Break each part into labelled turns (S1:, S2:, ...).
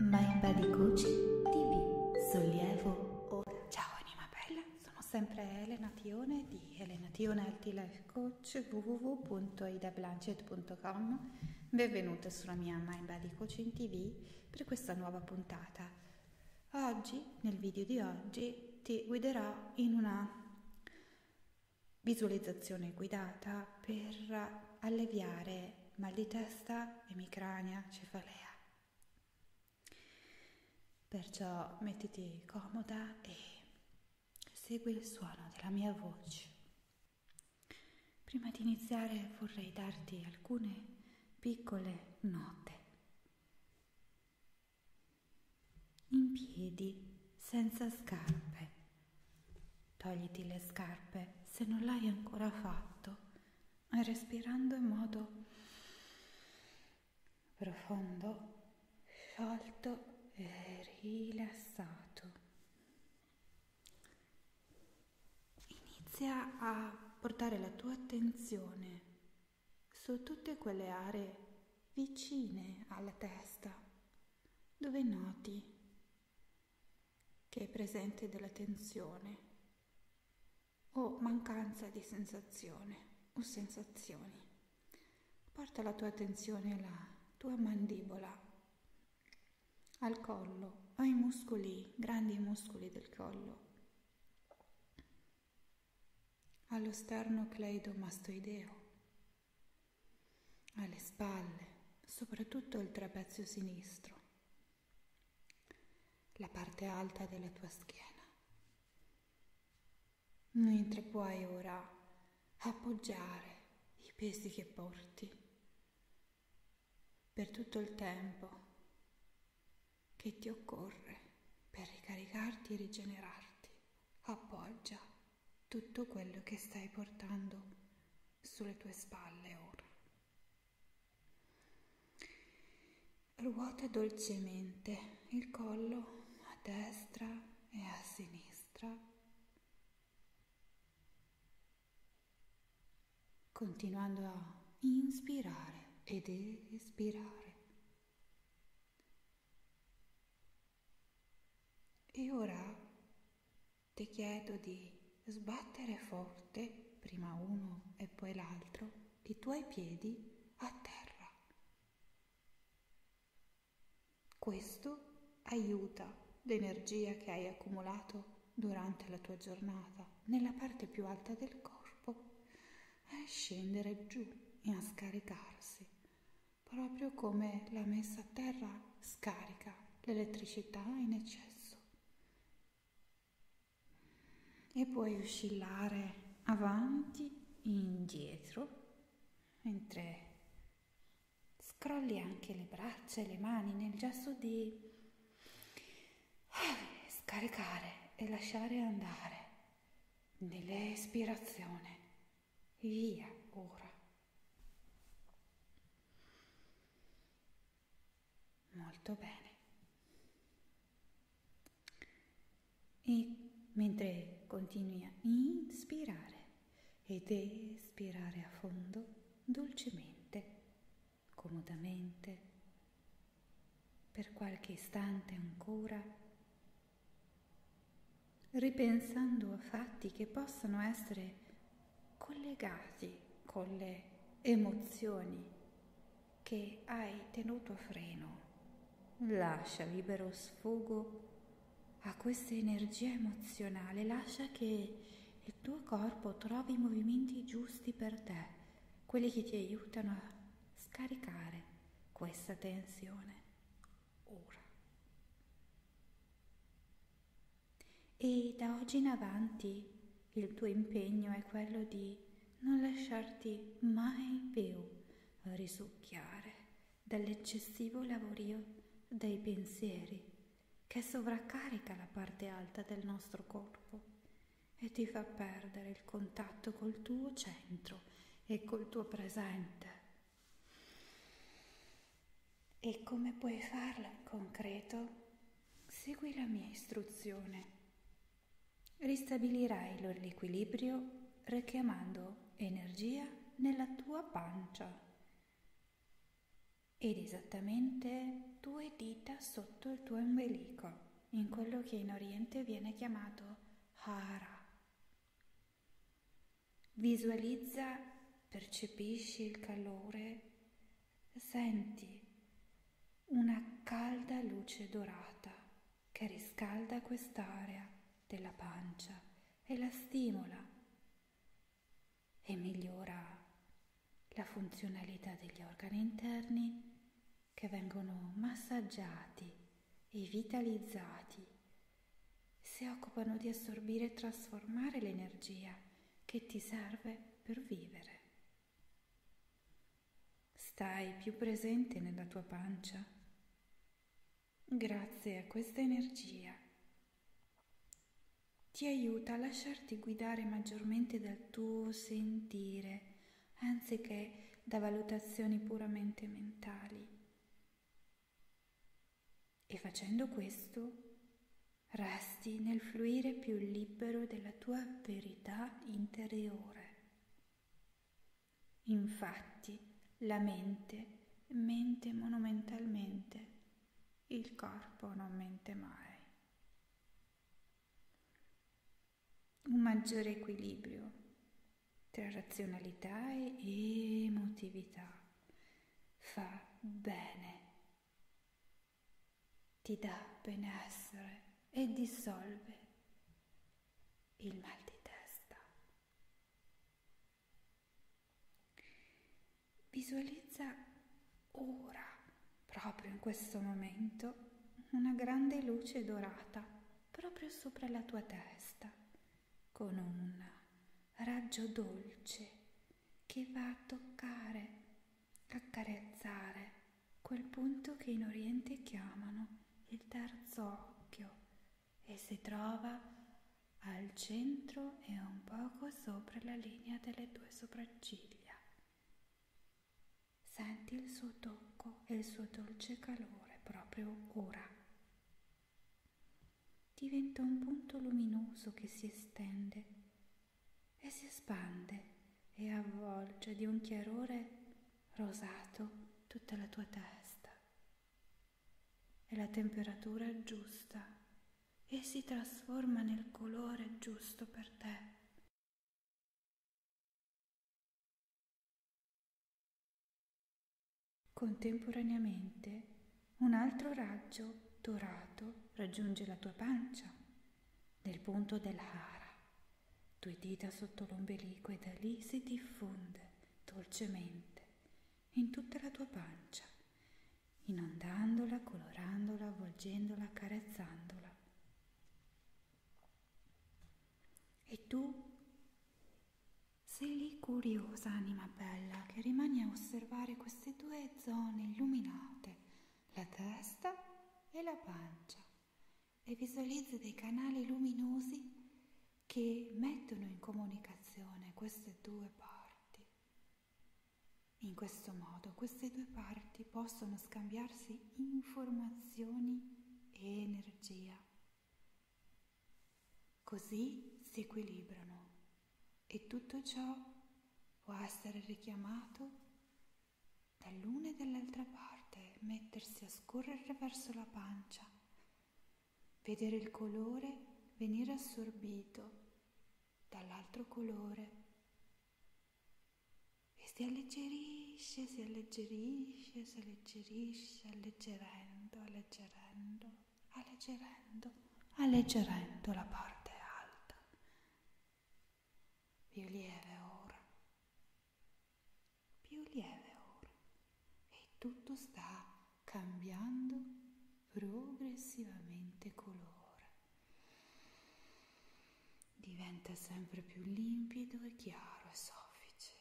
S1: My Buddy Gucci TV Sollievo ora. Ciao anima bella, sono sempre Elena Tione di Elena Tione Healthy Life Coach www.idablanchet.com Benvenuta sulla mia My Buddy Coaching TV per questa nuova puntata. Oggi, nel video di oggi, ti guiderò in una visualizzazione guidata per alleviare mal di testa, emicrania, cefalea. Perciò mettiti comoda e segui il suono della mia voce. Prima di iniziare vorrei darti alcune piccole note. In piedi, senza scarpe Togliti le scarpe se non l'hai ancora fatto, respirando in modo profondo, sciolto e rilassato. Inizia a portare la tua attenzione su tutte quelle aree vicine alla testa dove noti che è presente della tensione o mancanza di sensazione o sensazioni. Porta la tua attenzione alla tua mandibola, al collo o ai muscoli, grandi muscoli del collo, allo sterno cleidomastoideo, alle spalle, soprattutto il trapezio sinistro la parte alta della tua schiena. Mentre puoi ora appoggiare i pesi che porti per tutto il tempo che ti occorre per ricaricarti e rigenerarti, appoggia tutto quello che stai portando sulle tue spalle ora. Ruota dolcemente il collo a destra e a sinistra. Continuando a inspirare ed espirare. E ora ti chiedo di sbattere forte, prima uno e poi l'altro, i tuoi piedi a terra. Questo aiuta l'energia che hai accumulato durante la tua giornata nella parte più alta del corpo a scendere giù e a scaricarsi, proprio come la messa a terra scarica l'elettricità in eccesso e puoi oscillare avanti e indietro mentre scrolli anche le braccia e le mani nel gesto di eh, scaricare e lasciare andare nell'espirazione via ora Molto bene. E mentre continui a inspirare ed espirare a fondo, dolcemente, comodamente, per qualche istante ancora, ripensando a fatti che possono essere collegati con le emozioni che hai tenuto a freno. Lascia libero sfogo a questa energia emozionale, lascia che il tuo corpo trovi i movimenti giusti per te, quelli che ti aiutano a scaricare questa tensione. Ora. E da oggi in avanti il tuo impegno è quello di non lasciarti mai più risucchiare dall'eccessivo lavorio dei pensieri che sovraccarica la parte alta del nostro corpo e ti fa perdere il contatto col tuo centro e col tuo presente. E come puoi farlo in concreto? Segui la mia istruzione. Ristabilirai l'equilibrio richiamando energia nella tua pancia ed esattamente due dita sotto il tuo ombelico, in quello che in Oriente viene chiamato Hara. Visualizza, percepisci il calore senti una calda luce dorata che riscalda quest'area della pancia e la stimola e migliora la funzionalità degli organi interni che vengono massaggiati e vitalizzati, si occupano di assorbire e trasformare l'energia che ti serve per vivere. Stai più presente nella tua pancia grazie a questa energia. Ti aiuta a lasciarti guidare maggiormente dal tuo sentire anziché da valutazioni puramente mentali. E facendo questo resti nel fluire più libero della tua verità interiore. Infatti la mente mente monumentalmente, il corpo non mente mai. Un maggiore equilibrio tra razionalità e emotività fa bene ti dà benessere e dissolve il mal di testa. Visualizza ora, proprio in questo momento, una grande luce dorata proprio sopra la tua testa, con un raggio dolce che va a toccare, accarezzare quel punto che in Oriente chiamano il terzo occhio e si trova al centro e un poco sopra la linea delle tue sopracciglia. Senti il suo tocco e il suo dolce calore proprio ora. Diventa un punto luminoso che si estende e si espande e avvolge di un chiarore rosato tutta la tua testa. E la temperatura è giusta e si trasforma nel colore giusto per te. Contemporaneamente un altro raggio dorato raggiunge la tua pancia nel punto dell'ara, due dita sotto l'ombelico e da lì si diffonde dolcemente in tutta la tua pancia, inondandola, colorandola, avvolgendola, carezzandola. E tu sei lì curiosa anima bella che rimani a osservare queste due zone illuminate la testa e la pancia e visualizza dei canali luminosi che mettono in comunicazione queste due parti. In questo modo queste due parti possono scambiarsi informazioni e energia. Così si equilibrano e tutto ciò può essere richiamato dall'una e dall'altra parte, mettersi a scorrere verso la pancia, vedere il colore venire assorbito dall'altro colore e si alleggerisce, si alleggerisce, si alleggerisce, alleggerendo, alleggerendo, alleggerendo, alleggerendo la parte alta più lieve ora, più lieve ora e tutto sta cambiando progressivamente colore. Diventa sempre più limpido e chiaro e soffice.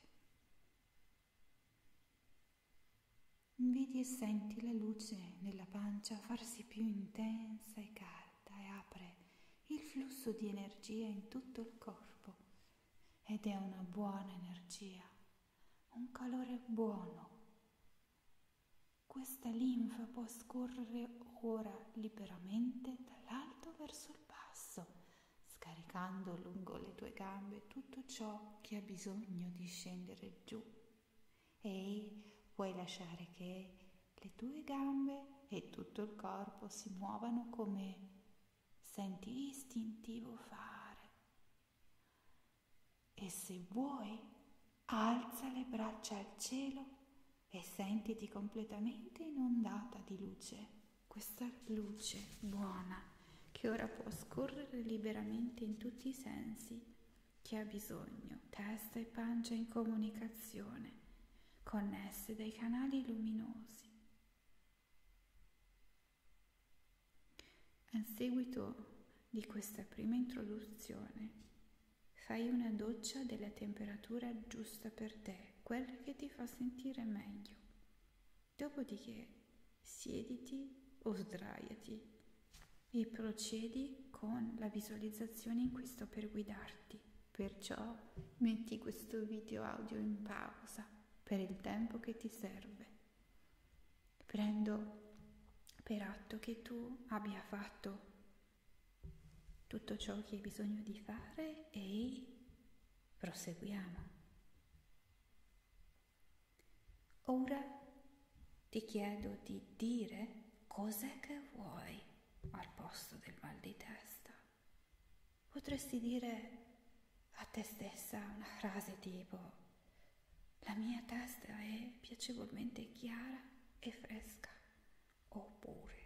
S1: Vedi e senti la luce nella pancia farsi più intensa e calda scatta e apre il flusso di energia in tutto il corpo ed è una buona energia, un calore buono. Questa linfa può scorrere ora liberamente dall'alto verso il basso, scaricando lungo le tue gambe tutto ciò che ha bisogno di scendere giù. E puoi lasciare che le tue gambe e tutto il corpo si muovano come senti istintivo fare. E se vuoi, alza le braccia al cielo e sentiti completamente inondata di luce, questa luce buona che ora può scorrere liberamente in tutti i sensi. Chi ha bisogno, testa e pancia in comunicazione connesse dai canali luminosi. A seguito di questa prima introduzione, fai una doccia della temperatura giusta per te, quella che ti fa sentire meglio. Dopodiché siediti o sdraiati e procedi con la visualizzazione in cui sto per guidarti. Perciò metti questo video audio in pausa per il tempo che ti serve. Prendo per atto che tu abbia fatto tutto ciò che hai bisogno di fare e proseguiamo. Ora ti chiedo di dire cos'è che vuoi al posto del mal di testa. Potresti dire a te stessa una frase tipo la mia testa è piacevolmente chiara e fresca, oppure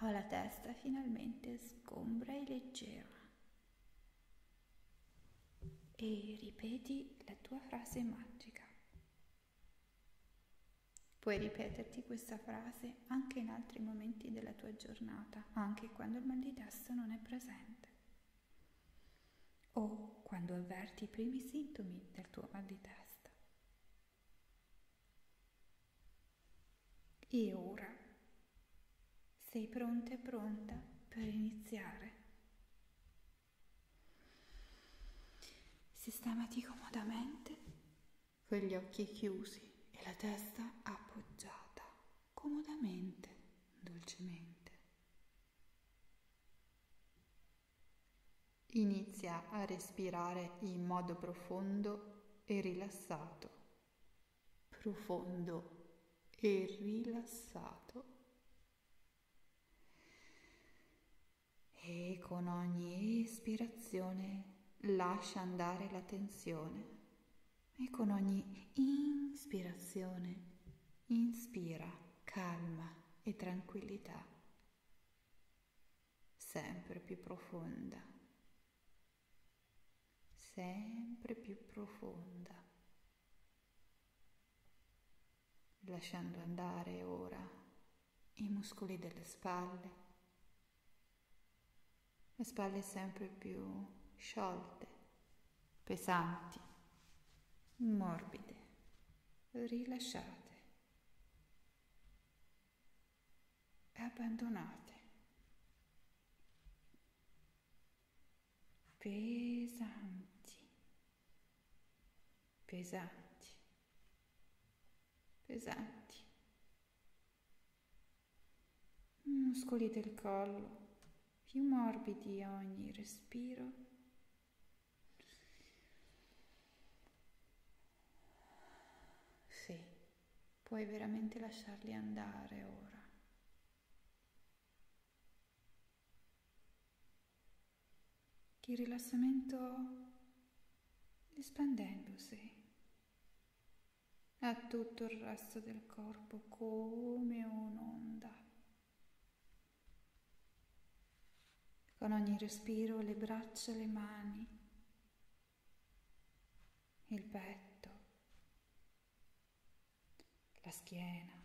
S1: ho la testa finalmente sgombra e leggera. E ripeti la tua frase magica. Puoi ripeterti questa frase anche in altri momenti della tua giornata, anche quando il mal di testa non è presente. O quando avverti i primi sintomi del tuo mal di testa. E ora sei pronta e pronta per iniziare. Sistemati comodamente con gli occhi chiusi e la testa appoggiata comodamente, dolcemente. Inizia a respirare in modo profondo e rilassato, profondo e rilassato e con ogni ispirazione lascia andare la tensione e con ogni ispirazione inspira calma e tranquillità sempre più profonda, sempre più profonda, lasciando andare ora i muscoli delle spalle, le spalle sempre più sciolte, pesanti, morbide, rilasciate e abbandonate. Pesanti, pesanti, pesanti. Muscoli del collo più morbidi a ogni respiro. Sì, puoi veramente lasciarli andare ora. il rilassamento espandendosi a tutto il resto del corpo come un'onda. Con ogni respiro le braccia, le mani, il petto, la schiena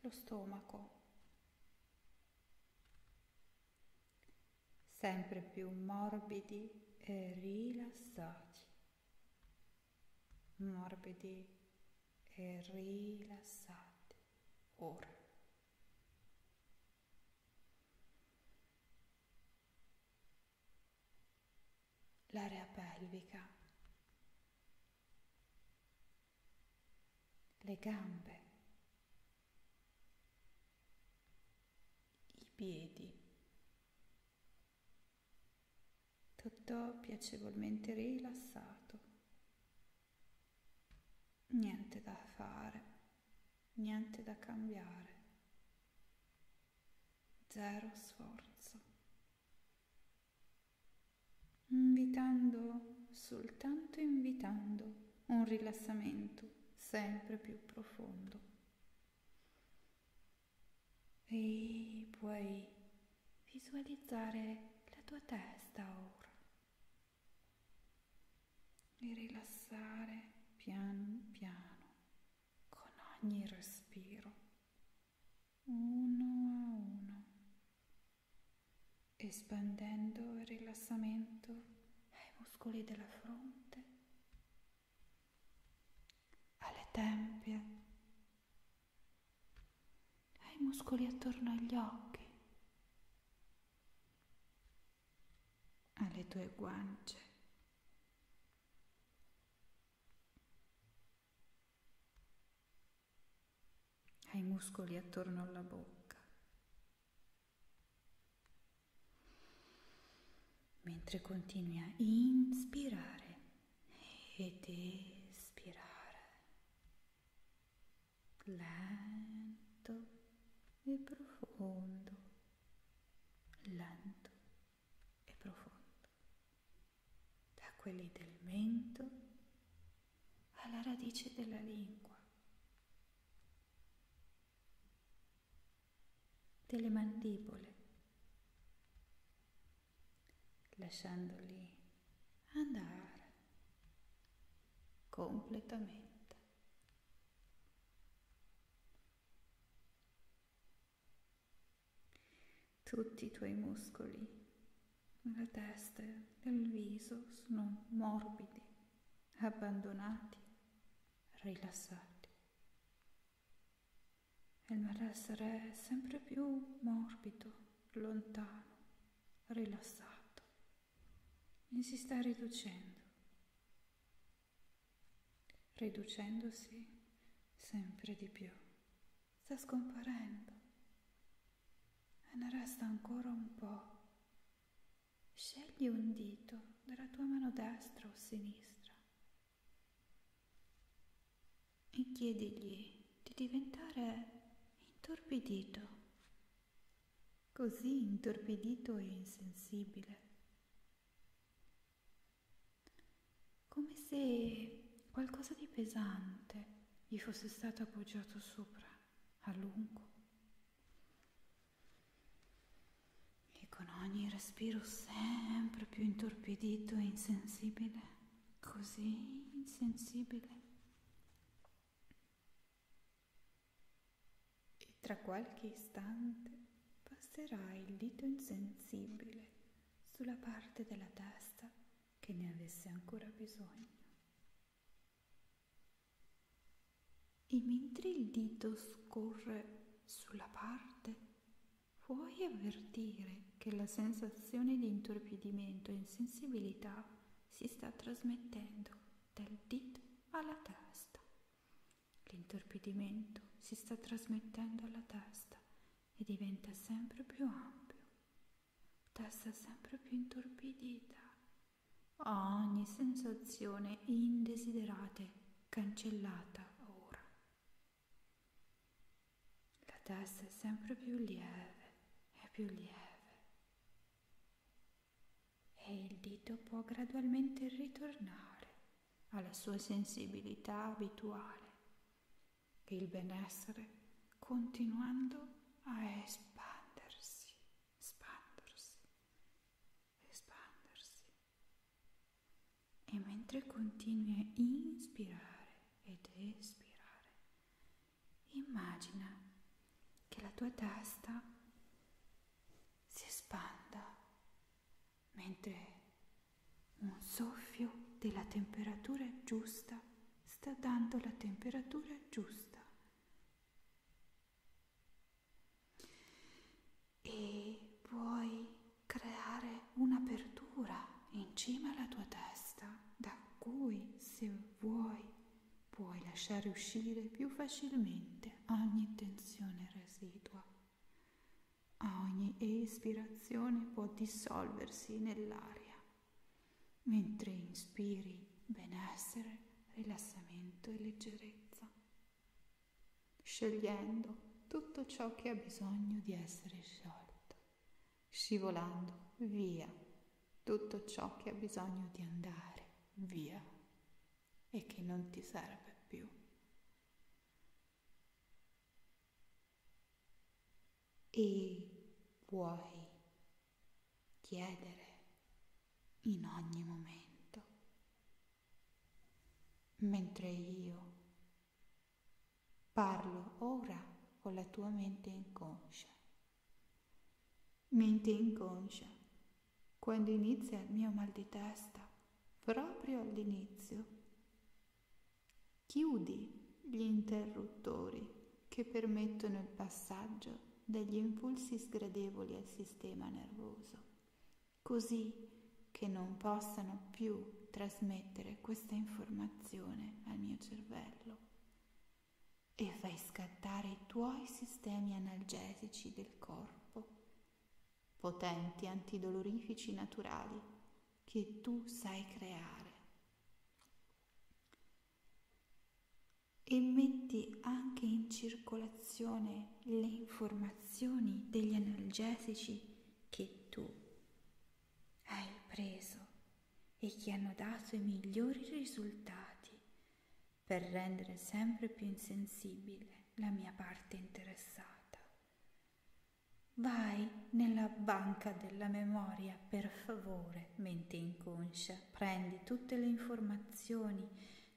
S1: lo stomaco. Sempre più morbidi e rilassati. Morbidi e rilassati. Ora. L'area pelvica le gambe, i piedi, tutto piacevolmente rilassato, niente da fare, niente da cambiare, zero sforzo invitando, soltanto invitando un rilassamento sempre più profondo. E puoi visualizzare la tua testa ora e rilassare piano piano con ogni respiro, uno a uno, espandendo il rilassamento ai muscoli della fronte, alle tempie, ai muscoli attorno agli occhi, alle tue guance ai muscoli attorno alla bocca, mentre continui a inspirare ed espirare lento e profondo, lento e profondo, da quelli del mento alla radice della lingua, delle mandibole, lasciandoli andare completamente. Tutti i tuoi muscoli la testa e il viso sono morbidi, abbandonati, rilassati. Il malessere è sempre più morbido, lontano, rilassato e si sta riducendo, riducendosi sempre di più, sta scomparendo e ne resta ancora un po'. Scegli un dito della tua mano destra o sinistra e chiedigli di diventare intorpidito, così intorpidito e insensibile, come se qualcosa di pesante gli fosse stato appoggiato sopra a lungo. E con ogni respiro sempre più intorpidito e insensibile, così insensibile. E tra qualche istante passerà il dito insensibile sulla parte della testa che ne avesse ancora bisogno. E mentre il dito scorre sulla parte, puoi avvertire che la sensazione di intorpidimento e insensibilità si sta trasmettendo dal dito alla testa. L'intorpidimento si sta trasmettendo alla testa e diventa sempre più ampio testa sempre più intorpidita, a ogni sensazione indesiderata cancellata ora. La testa è sempre più lieve e più lieve e il dito può gradualmente ritornare alla sua sensibilità abituale, il benessere continuando a espandersi espandersi, espandersi. E mentre continui a inspirare ed espirare, immagina che la tua testa si espanda mentre un soffio della temperatura giusta sta dando la temperatura giusta e puoi creare un'apertura in cima alla tua testa da cui se vuoi puoi lasciare uscire più facilmente ogni tensione residua. Ogni ispirazione può dissolversi nell'aria mentre inspiri benessere, rilassamento e leggerezza, scegliendo tutto ciò che ha bisogno di essere sciolto, scivolando via tutto ciò che ha bisogno di andare via e che non ti serve più. E puoi chiedere in ogni momento. Mentre io parlo ora con la tua mente inconscia. Mente inconscia, quando inizia il mio mal di testa, proprio all'inizio, chiudi gli interruttori che permettono il passaggio degli impulsi sgradevoli al sistema nervoso, così che non possano più trasmettere questa informazione al mio cervello e fai scattare i tuoi sistemi analgesici del corpo, potenti antidolorifici naturali che tu sai creare e metti anche in circolazione le informazioni degli analgesici che tu hai preso e che hanno dato i migliori risultati per rendere sempre più insensibile la mia parte interessata. Vai nella banca della memoria, per favore, mente inconscia freccia cioè, prendi tutte le informazioni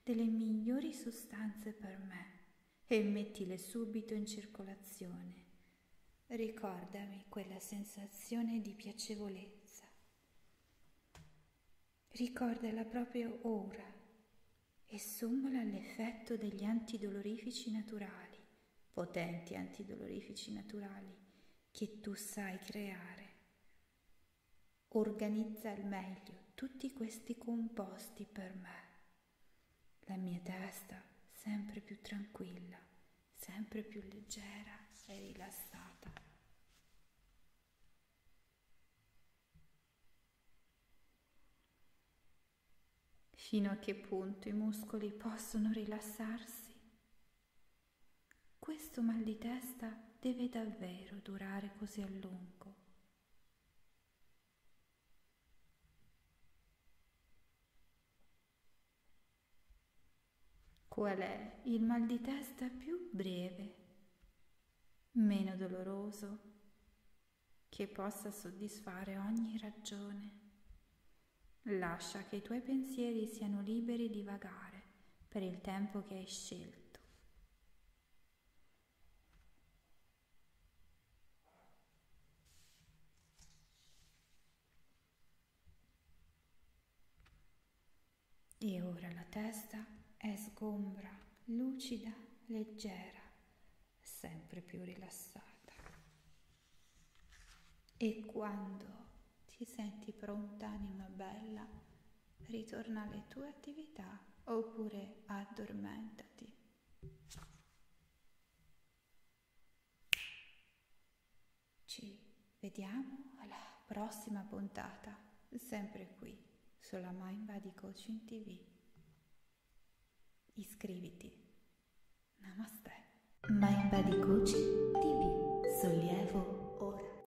S1: delle migliori sostanze per me e mettile subito in circolazione. Ricordami quella sensazione di piacevolezza. Ricordala proprio ora e sommala all'effetto degli antidolorifici naturali, potenti antidolorifici naturali che tu sai creare. Organizza al meglio tutti questi composti per me. La mia testa sempre più tranquilla, sempre più leggera e rilassata. Fino a che punto i muscoli possono rilassarsi? Questo mal di testa deve davvero durare così a lungo. Qual è il mal di testa più breve, meno doloroso, che possa soddisfare ogni ragione? Lascia che i tuoi pensieri siano liberi di vagare per il tempo che hai scelto. E ora la testa è sgombra, lucida, leggera, sempre più rilassata. E quando ti senti pronta, anima bella, ritorna alle tue attività oppure addormentati. Ci vediamo alla prossima puntata, sempre qui, sulla Mind Body Coaching TV. Iscriviti. Namaste. Mind Body Coaching TV. Sollievo ora.